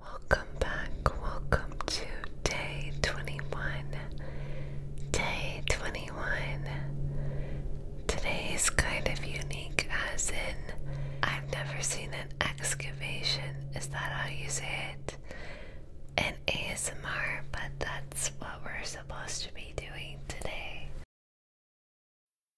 Welcome back, welcome to day 21. Day 21. Today is kind of unique, as in, I've never seen an excavation. Is that how you say it? In ASMR, but that's what we're supposed to be doing today.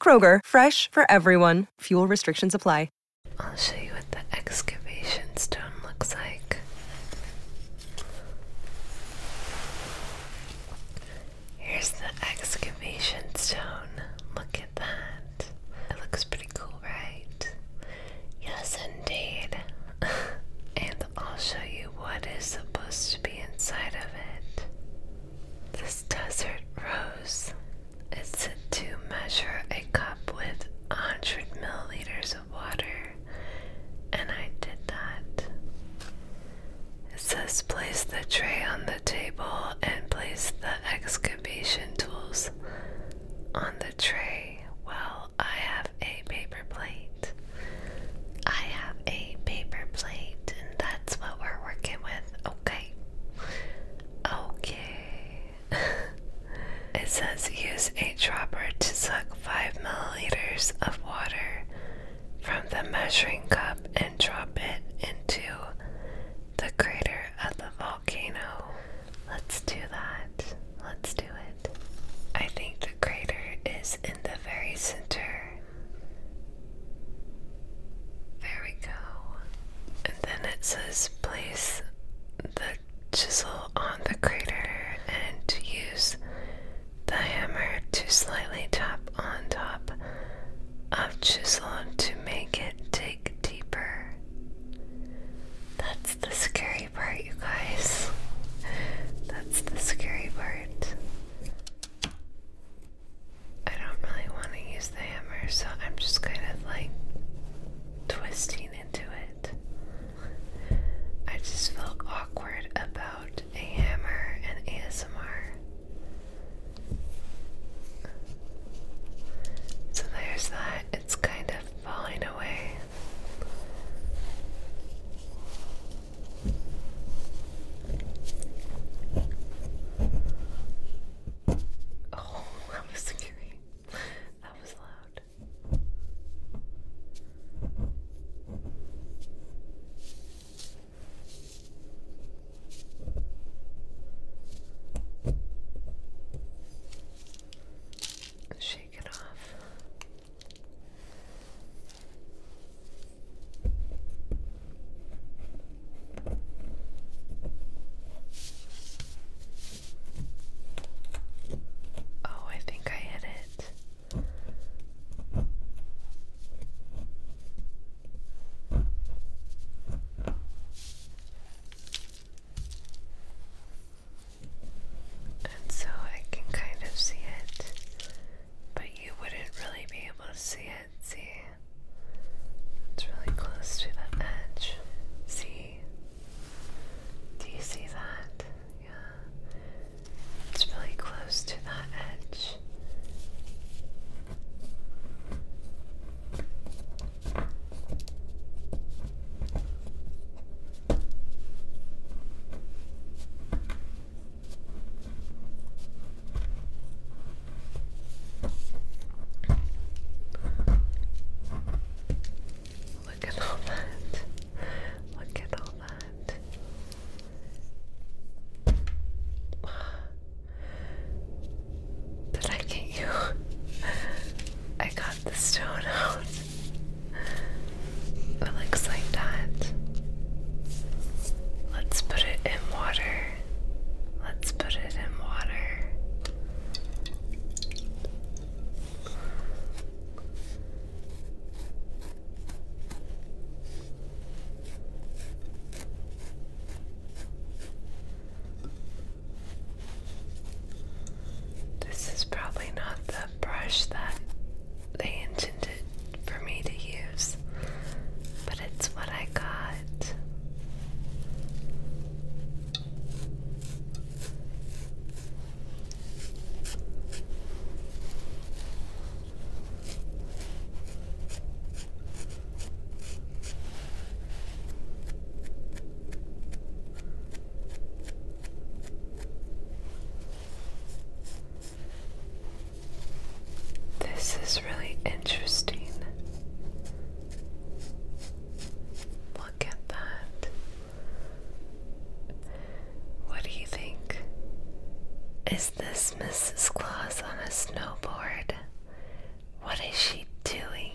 Kroger, fresh for everyone. Fuel restrictions apply. I'll show you what the excavation stone looks like. Here's the excavation stone. Look at that. It looks pretty cool, right? Yes, indeed. and I'll show you what is supposed to be inside of it. This desert rose is said to measure a cup with 100 milliliters of water, and I did that. It says place the tray on the table and place the excavation tools on the tray. Well, I have a paper plate. I have a paper plate, and that's what we're working with. Okay. Okay. it says use a dropper to suck 5 milliliters of water from the measuring cup and drop it into the crater of the volcano. Let's do that. Let's do it. I think the crater is in the very center. There we go. And then it says place the chisel on the crater and use the hammer to slightly tap on top of chisel to make it dig deeper. That's the scary part, you guys. That's the scary part. I don't really want to use the hammer, so I'm just kind of like twisting into it. I just feel awkward about a hammer and ASMR. So there's that, it's kind of falling away. Oh, that was scary. That was loud. She shake it off. Oh, I think I hit it. And so I can kind of see it, but you wouldn't really be able to see it. See? It's really close to the edge. See? Do you see that? Yeah. It's really close to that edge. Look at all that. Look at all that. Did I get you? I got the stone out. It looks like that. Let's put it in water. Let's put it in water. This is probably not the brush that they intended for me to use, but it's what I got. This is really interesting. Look at that. What do you think? Is this Mrs. Claus on a snowboard. What is she doing?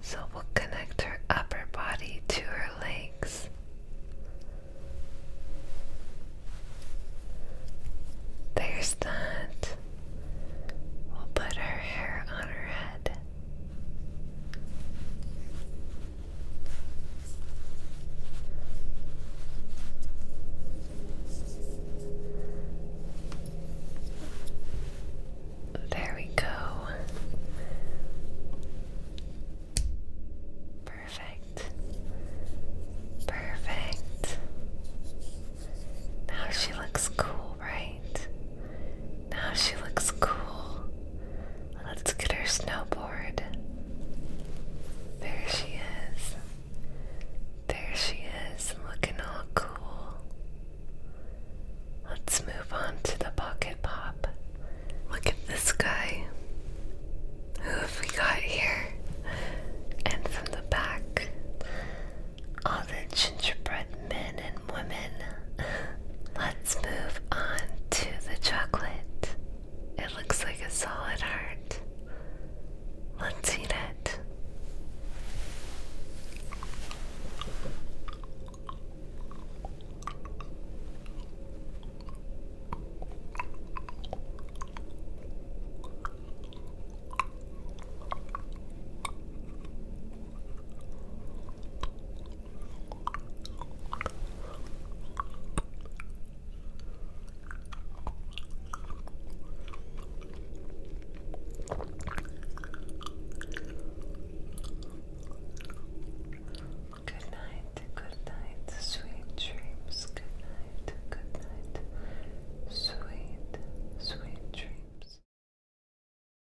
So we'll connect her upper body to her legs. There's that. We'll put her hair on her head. There we go. Perfect. Perfect. Now she looks cool, right? Now she looks cool. Let's get her snowboard. There she is. There she is, looking all cool. Let's move on to the Pocket Pop. Look at this guy. Who have we got here? And from the back, all the gingerbread men and women. Let's move on to the chocolate. It looks like a solid heart. Let's eat it. Good night, good night, sweet dreams. Good night, good night, sweet, sweet dreams.